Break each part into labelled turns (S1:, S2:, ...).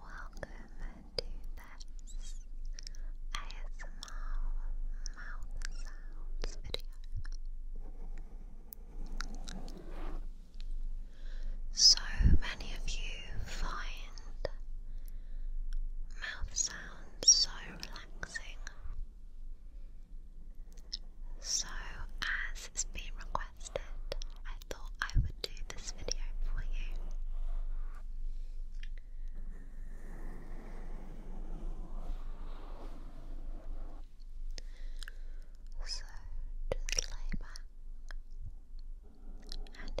S1: Welcome to this ASMR mouth sounds video. So many of you find mouth sounds so relaxing. So, as it's been requested, I thought I would do this video for you. So just lay back and enjoy.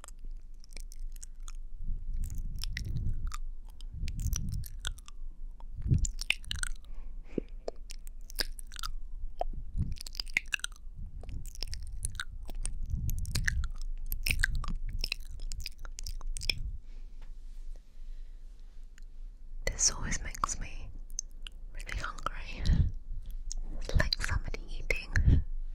S1: This always makes me really hungry. It's like somebody eating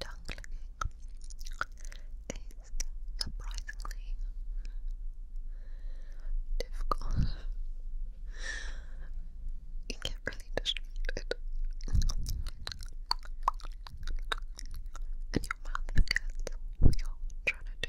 S1: tongue is surprisingly difficult. you get really distracted. And your mouth forgets what you're trying to do.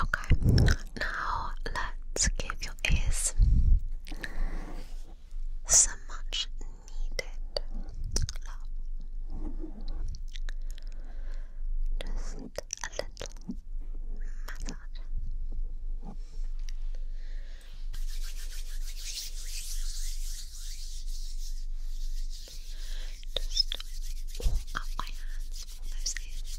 S2: Okay, now let's give your ears so much needed love. Just a little massage. Just warm up my hands those ears.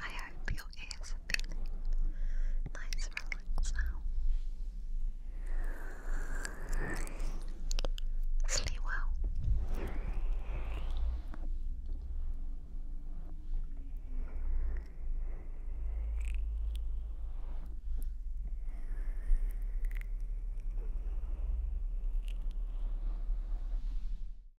S2: I hope your ears are feeling nice and now. Sleep well.